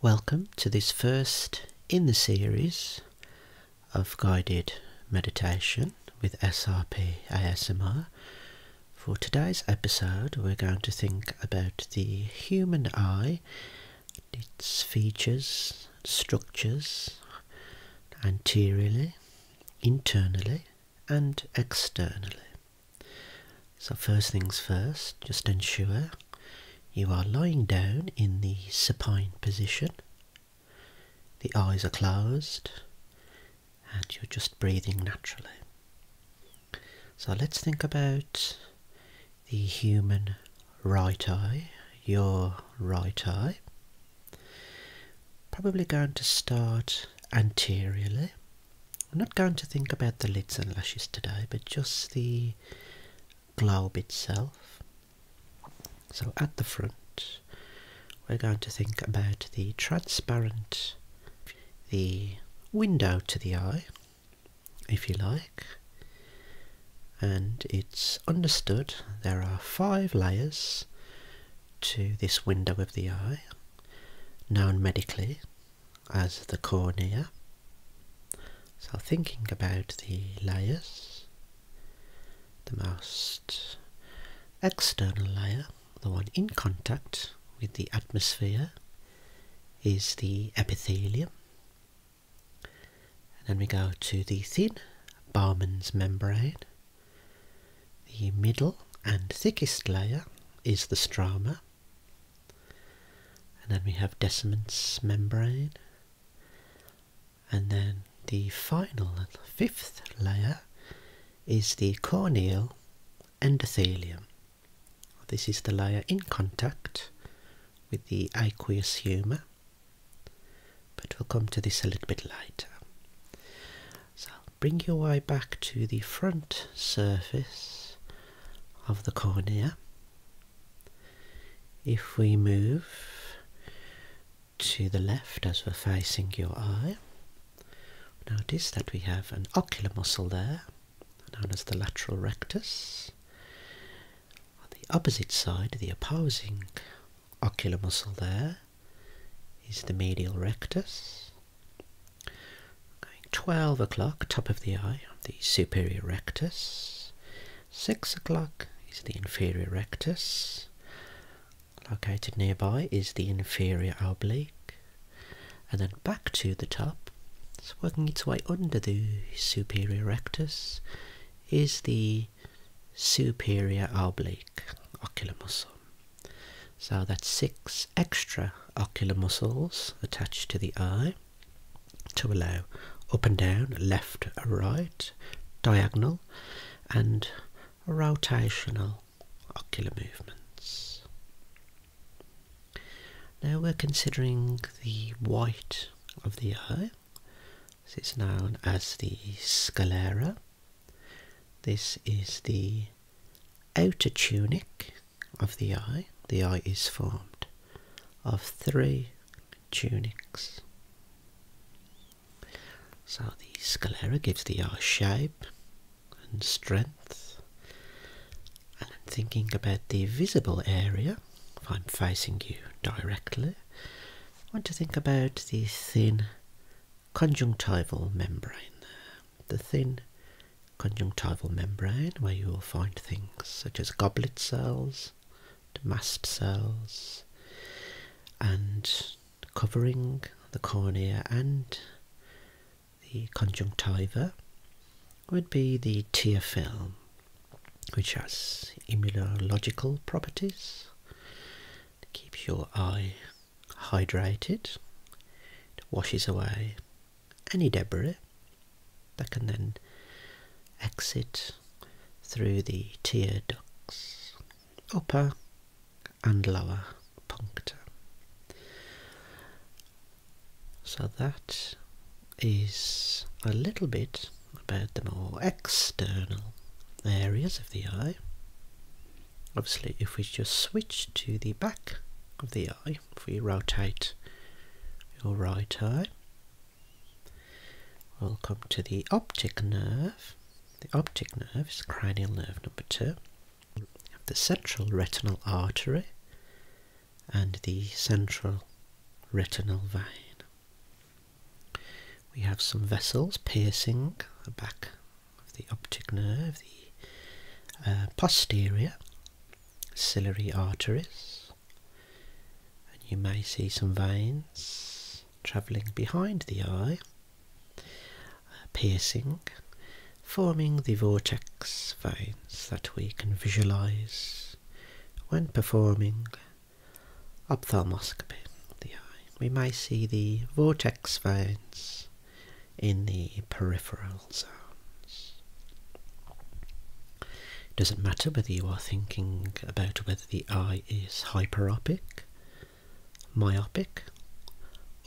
Welcome to this first in the series of guided meditation with SRP ASMR. For today's episode, we're going to think about the human eye, its features, structures, anteriorly, internally, and externally. So first things first, just ensure you are lying down in the supine position. The eyes are closed and you're just breathing naturally. So let's think about the human right eye, your right eye. Probably going to start anteriorly I'm not going to think about the lids and lashes today, but just the globe itself. So at the front, we're going to think about the transparent, the window to the eye, if you like. And it's understood there are five layers to this window of the eye, known medically as the cornea. So thinking about the layers, the most external layer, the one in contact with the atmosphere, is the epithelium. then we go to the thin Bowman's membrane. The middle and thickest layer is the stroma. And then we have Descendant's membrane. And then the final, fifth layer is the corneal endothelium. This is the layer in contact with the aqueous humour, but we'll come to this a little bit later. So bring your eye back to the front surface of the cornea. If we move to the left as we're facing your eye, notice that we have an ocular muscle there, known as the lateral rectus. On the opposite side, the opposing ocular muscle there is the medial rectus. 12 o'clock, top of the eye, the superior rectus. 6 o'clock is the inferior rectus. Located nearby is the inferior oblique. And then back to the top, working its way under the superior rectus, is the superior oblique ocular muscle. So that's six extra ocular muscles attached to the eye to allow up and down, left and right, diagonal and rotational ocular movements. Now we're considering the white of the eye. So it's known as the sclera. This is the outer tunic of the eye. The eye is formed of three tunics. So the sclera gives the eye shape and strength. And thinking about the visible area. If I'm facing you directly, I want to think about the thin conjunctival membrane the thin conjunctival membrane where you will find things such as goblet cells, mast cells, and covering the cornea and the conjunctiva would be the tear film, which has immunological properties. It keeps your eye hydrated, it washes away any debris that can then exit through the tear ducts, upper and lower puncta. So that is a little bit about the more external areas of the eye obviously if we just switch to the back of the eye, if we rotate your right eye, we'll come to the optic nerve. The optic nerve is cranial nerve number two. You have the central retinal artery and the central retinal vein. We have some vessels piercing the back the optic nerve, the uh, posterior ciliary arteries, and you may see some veins travelling behind the eye, uh, piercing, forming the vortex veins that we can visualise when performing ophthalmoscopy of the eye we may see the vortex veins in the peripheral zones. It doesn't matter whether you are thinking about whether the eye is hyperopic, myopic,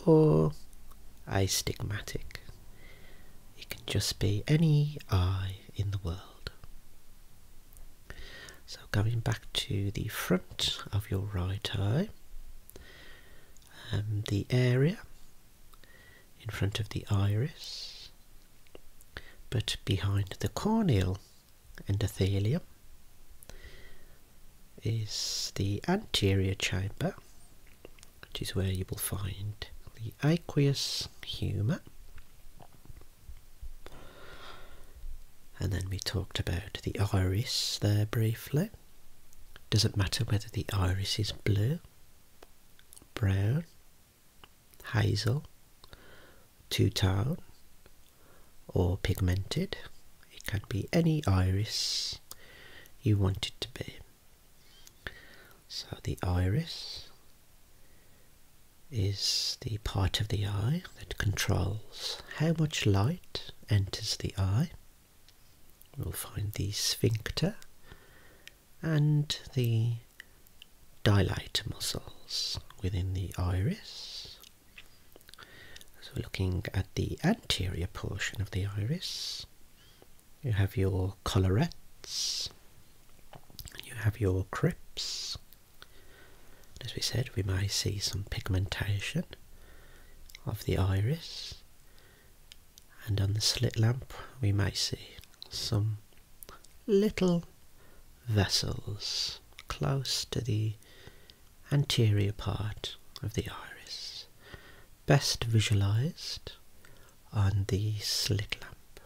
or astigmatic. It can just be any eye in the world. So going back to the front of your right eye, and um, the area in front of the iris, but behind the corneal endothelium is the anterior chamber, which is where you will find the aqueous humour and then we talked about the iris there briefly. Does not matter whether the iris is blue, brown, hazel, two tone, or pigmented? It can be any iris you want it to be. So the iris is the part of the eye that controls how much light enters the eye. We'll find the sphincter and the dilator muscles within the iris. So looking at the anterior portion of the iris, you have your collarettes, you have your crypts, as we said, we may see some pigmentation of the iris, and on the slit lamp, we may see some little vessels close to the anterior part of the iris, best visualized on the slit lamp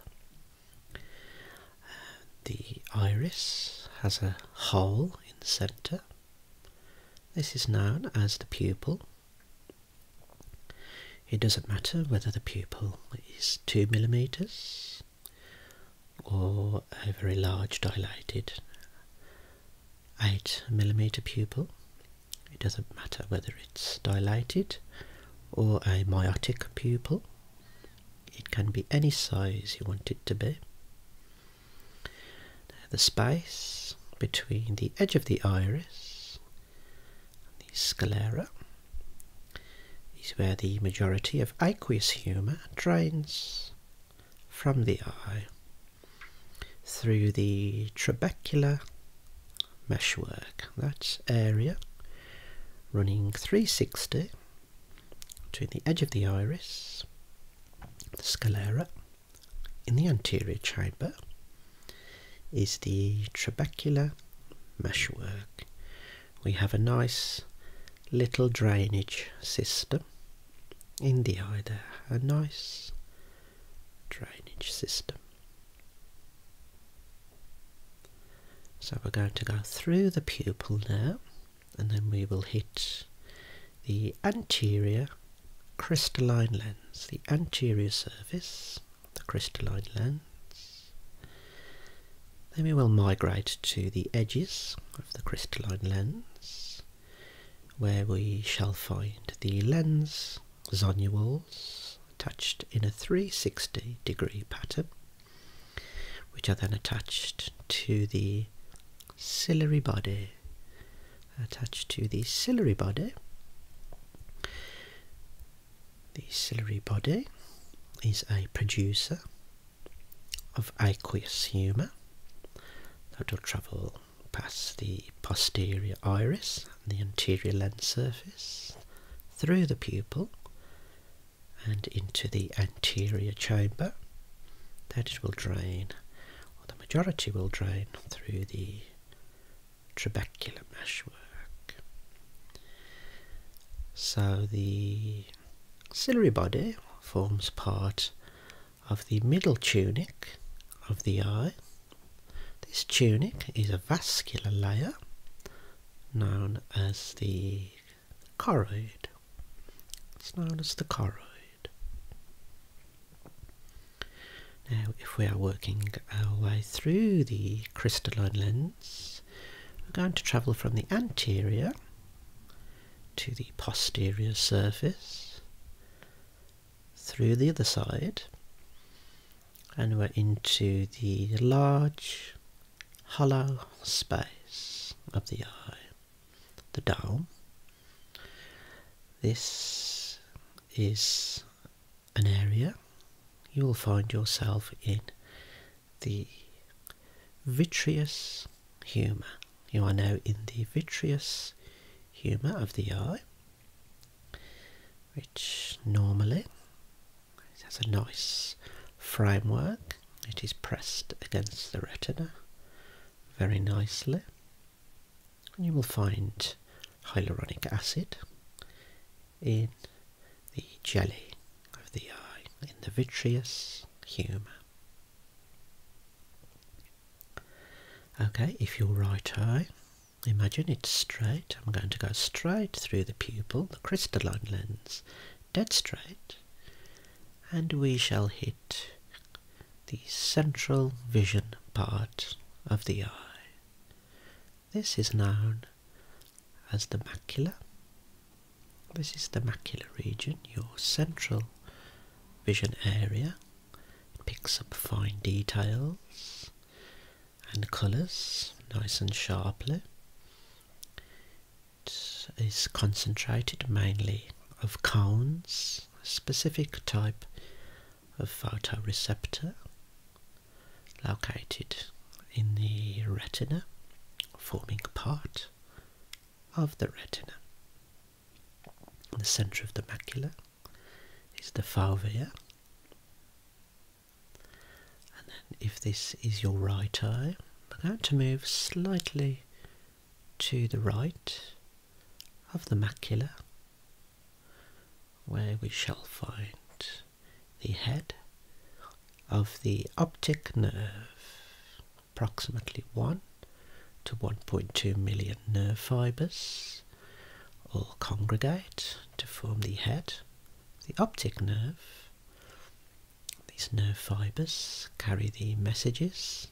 the iris has a hole in the centre. This is known as the pupil. It doesn't matter whether the pupil is 2 millimeters or a very large dilated 8 millimeter pupil. It doesn't matter whether it's dilated or a meiotic pupil. It can be any size you want it to be. the space between the edge of the iris and the sclera is where the majority of aqueous humour drains from the eye through the trabecular meshwork. That's area running 360 to the edge of the iris, the sclera. In the anterior chamber is the trabecular meshwork. We have a nice little drainage system in the eye there, a nice drainage system. So we're going to go through the pupil now and then we will hit the anterior crystalline lens, the anterior surface, the crystalline lens. Then we will migrate to the edges of the crystalline lens where we shall find the lens zonules attached in a 360 degree pattern which are then attached to the ciliary body. Attached to the ciliary body, the ciliary body is a producer of aqueous humour that will travel past the posterior iris and the anterior lens surface through the pupil and into the anterior chamber that it will drain or the majority will drain through the trabecular meshwork so the ciliary body forms part of the middle tunic of the eye this tunic is a vascular layer known as the choroid. It's known as the choroid. Now, if we are working our way through the crystalline lens, we're going to travel from the anterior to the posterior surface, through the other side, and we're into the large hollow space of the eye, the dome. This is an area you will find yourself in the vitreous humour. You are now in the vitreous humour of the eye which normally has a nice framework. It is pressed against the retina very nicely. you will find hyaluronic acid in the jelly of the eye, in the vitreous humour. Okay, if your right eye Imagine it's straight. I'm going to go straight through the pupil, the crystalline lens, dead straight, and we shall hit the central vision part of the eye. This is known as the macula. This is the macula region, your central vision area. It picks up fine details and colours nice and sharply. It is concentrated mainly of cones, a specific type of photoreceptor located in the retina, forming part of the retina. In the centre of the macula is the fovea, and then if this is your right eye, we're going to move slightly to the right of the macula where we shall find the head of the optic nerve, approximately 1 to 1.2 million nerve fibres all congregate to form the head, the optic nerve. These nerve fibres carry the messages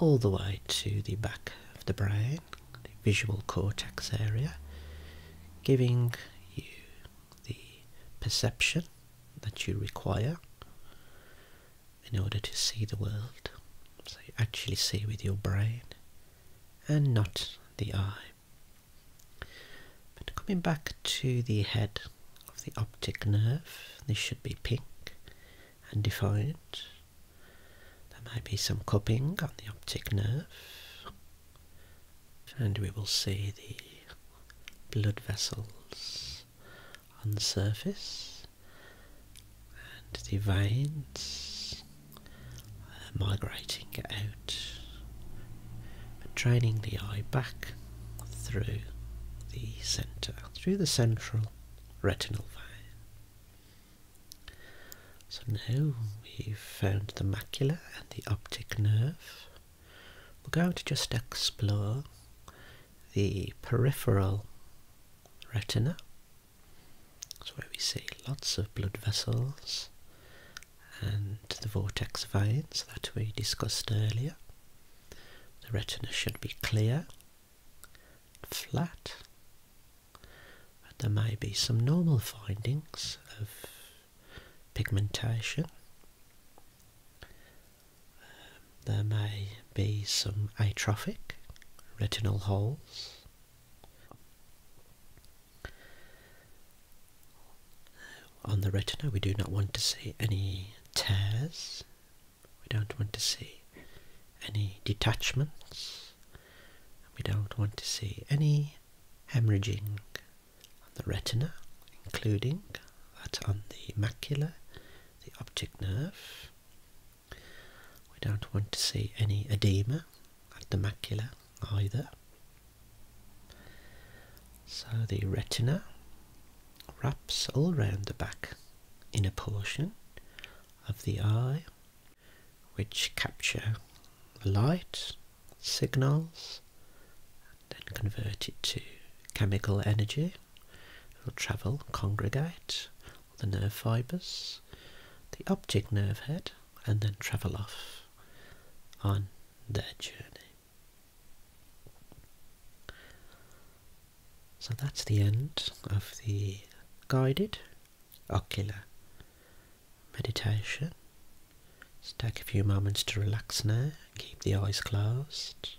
all the way to the back of the brain, the visual cortex area, giving you the perception that you require in order to see the world. So you actually see with your brain and not the eye. But coming back to the head of the optic nerve, this should be pink and defined. There may be some cupping on the optic nerve, and we will see the blood vessels on the surface and the veins are migrating out, draining the eye back through the centre, through the central retinal vein. So now we've found the macula and the optic nerve. We're going to just explore the peripheral retina so where we see lots of blood vessels and the vortex veins that we discussed earlier. The retina should be clear, flat, but there may be some normal findings of pigmentation there may be some atrophic retinal holes. On the retina we do not want to see any tears, we don't want to see any detachments, we don't want to see any hemorrhaging on the retina, including that on the macula, the optic nerve. We don't want to see any edema at the macula either. So the retina wraps all round the back in a portion of the eye which capture the light signals and then convert it to chemical energy it will travel, congregate, the nerve fibres, the optic nerve head, and then travel off on their journey. So that's the end of the guided ocular meditation. Just take a few moments to relax now, keep the eyes closed,